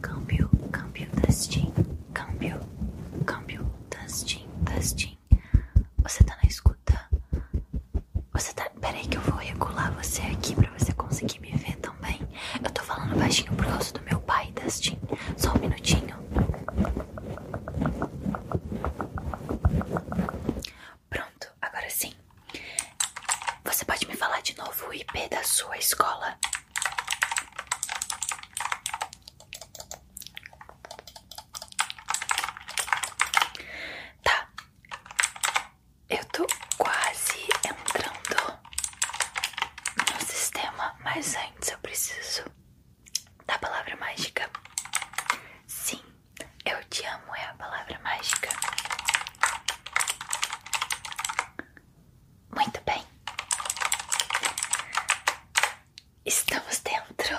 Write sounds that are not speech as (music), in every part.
câmbio, câmbio, Dustin, câmbio, câmbio, Dustin, Dustin. Você tá na escuta? Você tá. Peraí, que eu vou regular você aqui pra você conseguir me ver também. Eu tô falando baixinho por causa do meu pai, Dustin. Só um minutinho. Pronto, agora sim. Você pode me falar de novo o IP da sua escola? Tá, eu tô quase entrando no sistema, mas antes eu preciso da palavra mágica. Sim, eu te amo é a palavra mágica. Muito bem. Estamos dentro.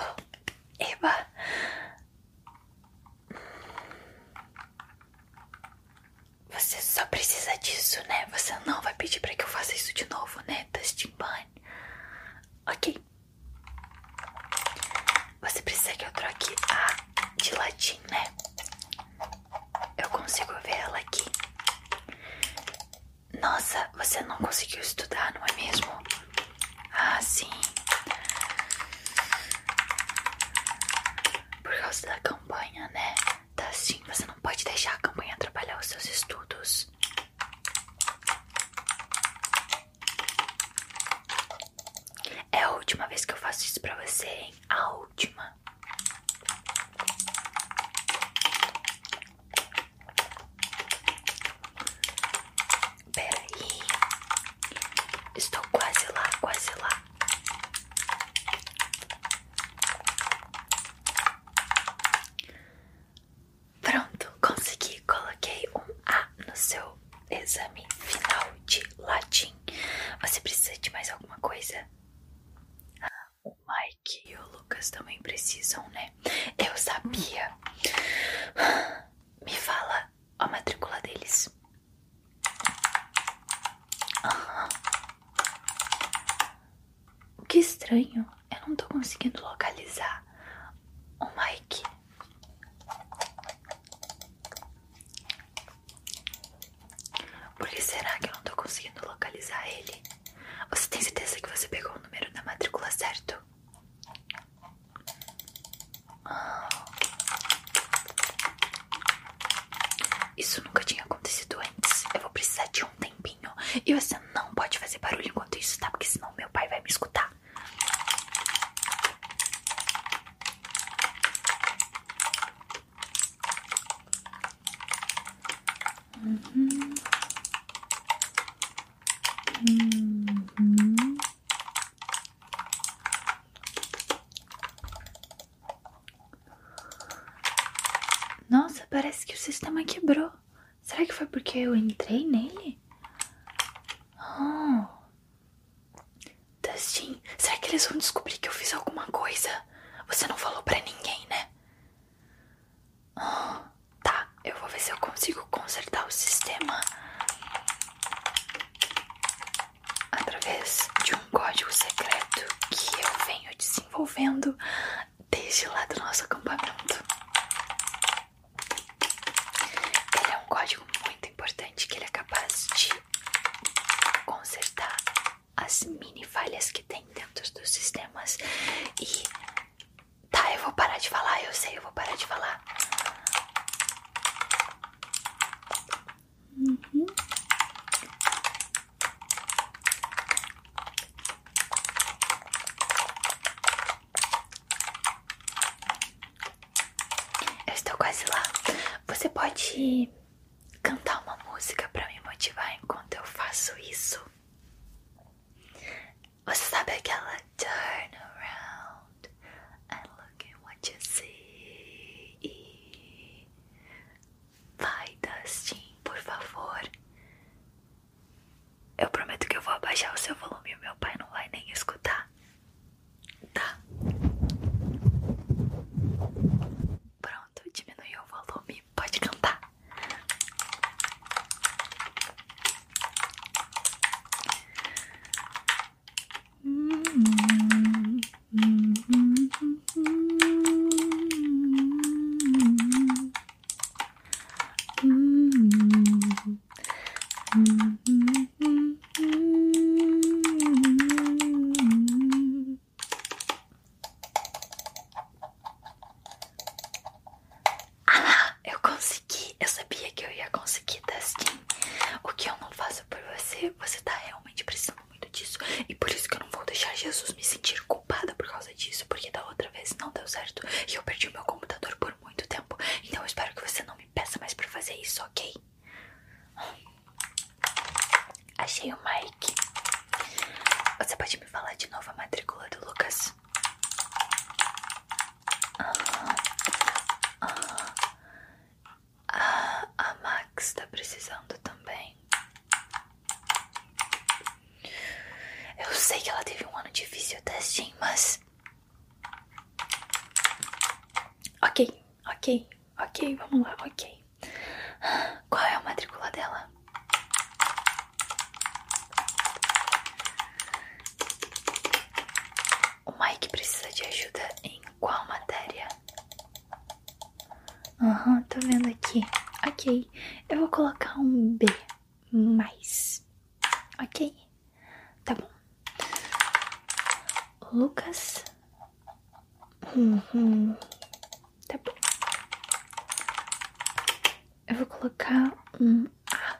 Eva Você só precisa disso, né? Você não vai pedir para que eu faça isso de novo, né? Dustin Bunny. Ok. Você precisa que eu troque a de latim, né? Eu consigo ver ela aqui. Nossa, você não conseguiu estudar, não é mesmo? Ah, sim. Por causa da campanha, né? Tá sim, você não pode deixar a campanha atrapalhar os seus estudos. É a última vez que eu faço isso pra você, hein? A última. Peraí, estou quase lá, quase lá. Pronto, consegui. Coloquei um A no seu exame final de latim. Você precisa de mais alguma coisa? Um o Mike e o Lucas também precisam, né? Eu sabia. Me fala a matrícula deles. Ah. Que estranho, eu não tô conseguindo localizar o Mike. Por que será que eu não tô conseguindo localizar ele? Você tem certeza que você pegou o número da matrícula certo? Ah. Isso nunca tinha acontecido antes. Eu vou precisar de um tempinho. E você não pode fazer barulho enquanto isso, tá? Porque senão meu pai vai me escutar. Uhum. Uhum. Nossa, parece que o sistema quebrou. Será que foi porque eu entrei nele? Oh. Dustin, será que eles vão descobrir que eu fiz alguma coisa? Você não falou pra ninguém, né? Tá, eu vou ver se eu consigo consertar o sistema através de um código secreto que eu venho desenvolvendo desde lá do nosso acampamento. Ele é um código muito importante que ele é capaz de consertar as mini falhas que tem dentro dos sistemas. E tá, eu vou parar de falar, eu sei, eu vou parar de falar. Uhum. Eu estou quase lá. Você pode cantar uma música para me motivar enquanto eu faço isso. Você sabe aquela turn around and look at what you see. Vai, Dustin, por favor. Eu prometo que eu vou abaixar o seu volume e meu pai não vai nem escutar. Tá. Pronto, diminuiu o volume. Pode cantar. Ah, eu consegui. Eu sabia que eu ia conseguir, Dustin. O que eu não faço por você, você tá realmente precisando muito disso. E por isso que eu não vou deixar Jesus me sentir culpada por causa disso. Porque da outra vez não deu certo e eu perdi o meu computador por muito tempo. Então eu espero que você não me peça mais pra fazer isso, ok? Achei o Mike. Você pode me falar de novo a matrícula do Lucas? Ah ah, ah, ah, a Max tá precisando também. Eu sei que ela teve um ano difícil, testing, tá, mas. Ok, ok, ok, vamos lá, ok. Qual é a matrícula dela? O Mike precisa de ajuda em qual matéria? Aham, tô vendo aqui. Ok, eu vou colocar um B mais. Ok, tá bom. Lucas. Uhum. Tá bom. Eu vou colocar um A.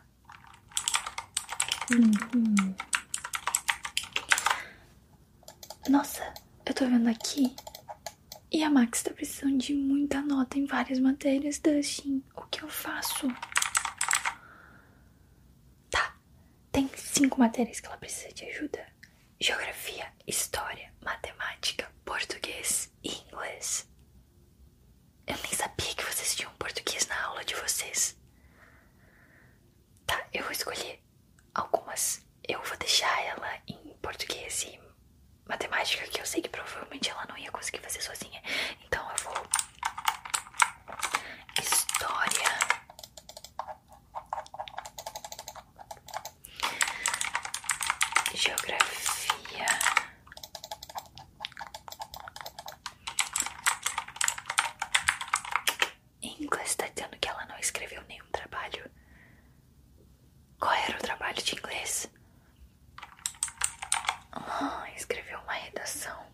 Uhum. Nossa, eu tô vendo aqui. E a Max tá precisando de muita nota em várias matérias, Dustin. O que eu faço? Tá, tem cinco matérias que ela precisa de ajuda geografia, história, matemática, português e inglês. Eu nem sabia que vocês tinham português na aula de vocês. Tá, eu vou escolher algumas. Eu vou deixar ela em português e matemática, que eu sei que provavelmente ela não ia conseguir fazer sozinha. Então eu vou. História. Geografia. Inglês está dizendo que ela não escreveu nenhum trabalho. Qual era o trabalho de inglês? Ah, escreveu uma redação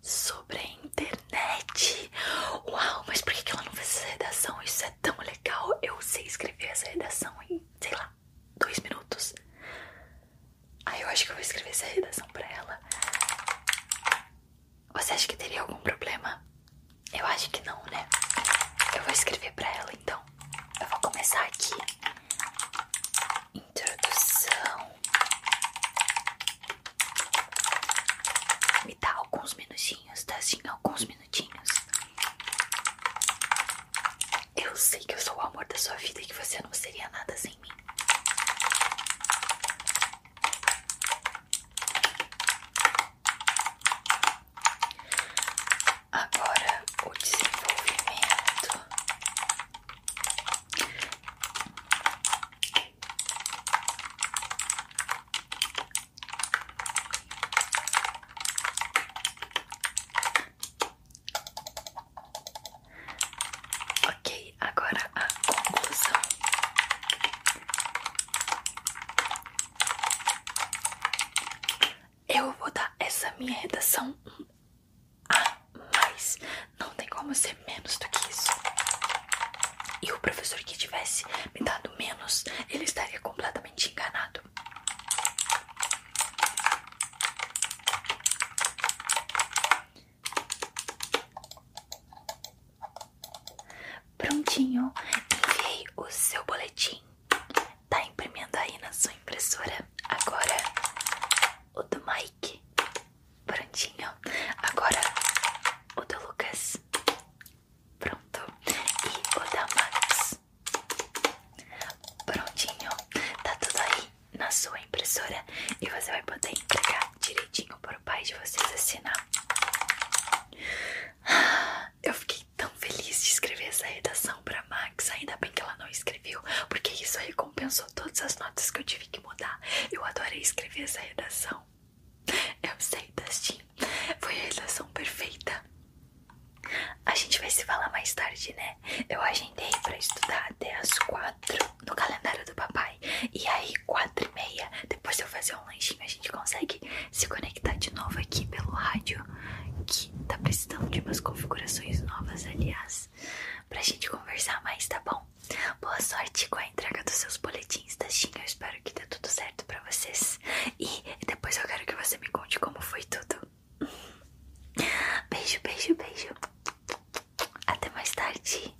sobre a internet. Uau, mas por que ela não fez essa redação? Isso tão legal. Eu sei escrever essa redação em, sei lá, dois minutos. Aí eu acho que eu vou escrever essa redação pra ela. Você acha que teria algum problema? Eu acho que não, né? Eu vou escrever pra ela então. Eu vou começar aqui. Introdução. Me dá alguns minutinhos, tá? Sim, alguns minutinhos minutinhos. Eu sei que eu sou o amor da sua vida e que você não seria nada sem mim. Agora o desenvolvimento. Ok, agora a conclusão. Eu vou dar essa minha redação um a mais. Não tem como ser menos do que isso. E o professor que tivesse me dado menos, ele estaria completamente enganado. Prontinho, enviei o seu boletim. Tá imprimindo aí na sua impressora. Agora o do Mike. Prontinho. Agora o do Lucas. Pronto. E o da Max. Prontinho. Tá tudo aí na sua impressora e você vai poder entregar direitinho para o pai de vocês assinar. Ah, eu fiquei tão feliz de escrever essa redação para Max. Ainda bem que ela não escreveu, porque isso recompensou todas as notas que eu tive que mudar. Eu adorei escrever essa redação. Eu sei, Dustin, foi a realização perfeita. A gente vai se falar mais tarde, né? Eu agendei pra estudar até as quatro no calendário do papai. E aí, quatro e meia, depois de eu fazer um lanchinho, a gente consegue se conectar de novo aqui pelo rádio. Que tá precisando de umas configurações novas, aliás. Pra gente conversar mais, tá bom? Boa sorte com a entrega dos seus boletins, Tastinha. Eu espero que dê tudo certo pra vocês. E e depois eu quero que você me conte como foi tudo. Beijo, beijo, beijo. Até mais tarde.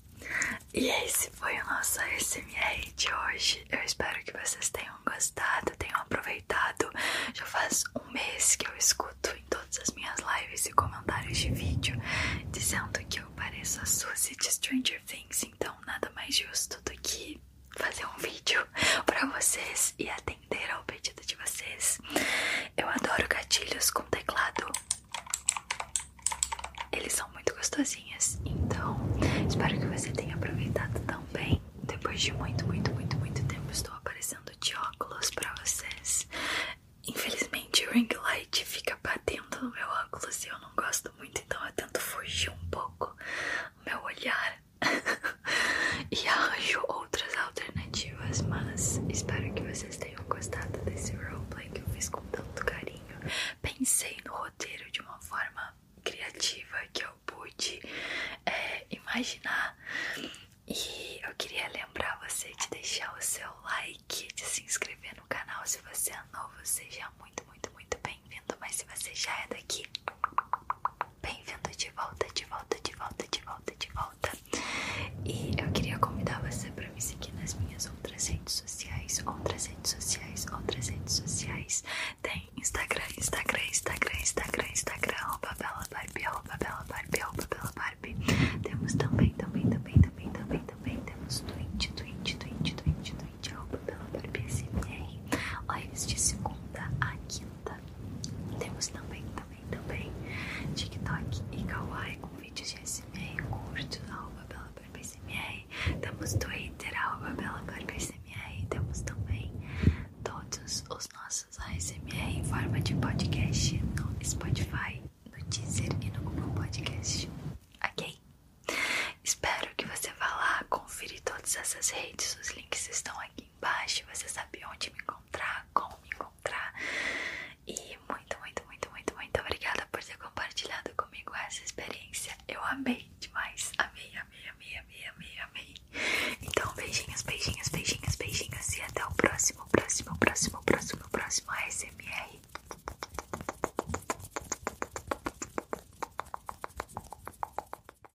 E esse foi o nosso SMR de hoje. Eu espero que vocês tenham gostado, tenham aproveitado. Já faz um mês que eu escuto em todas as minhas lives e comentários de vídeo dizendo que eu pareço a Suzy de Stranger Things, então nada mais justo do que fazer um vídeo (laughs) pra vocês e atender ao pedido de vocês. Eu adoro gatilhos com teclado. Eles são muito gostosinhos, então espero que você tenha aproveitado também. Depois de muito, muito, muito, muito tempo estou aparecendo de óculos pra vocês. Infelizmente o ring light fica batendo no meu óculos e eu não gosto muito, então eu tento fugir um pouco do meu olhar (laughs) e arranjo outras alternativas, mas espero que vocês tenham gostado desse roleplay que eu fiz com tanto carinho. Pensei no roteiro de uma forma criativa que eu pude é, imaginar. E eu queria lembrar você de deixar o seu like, de se inscrever no canal se você é novo, seja muito, muito, muito bem-vindo mas se você já é daqui, bem-vindo de volta, de volta, de volta, de volta, de volta. E eu queria convidar você para me seguir nas minhas outras redes sociais, outras redes sociais, outras redes sociais. Tem Instagram, Instagram, Instagram, Instagram, Instagram, arroba bela Barbie, arroba bela Barbie, arroba bela Barbie. Temos também, também, também, também, também, também, temos Twitch, Twitch, Twitch, Twitch, Twitch, arroba bela Barbie, SMR. Lives de segunda a quinta temos também, também, também TikTok e Kawaii com vídeos de SMR curtos, arroba Bela Corpo SMR. Temos Twitter, arroba Bela Corpo SMR. Temos também todos os nossos ASMR em forma de podcast no Spotify, no Deezer e no Google Podcast. Ok? Espero que você vá lá conferir todas essas redes, os links estão aqui embaixo, você sabe onde me encontrar, como me encontrar. E muito, muito, muito, muito, muito obrigada por ter compartilhado comigo essa experiência. Eu amei demais. Amei, amei, amei, amei, amei, amei. Então, beijinhos, beijinhos, beijinhos, beijinhos. E até o próximo, próximo, próximo, próximo, próximo ASMR.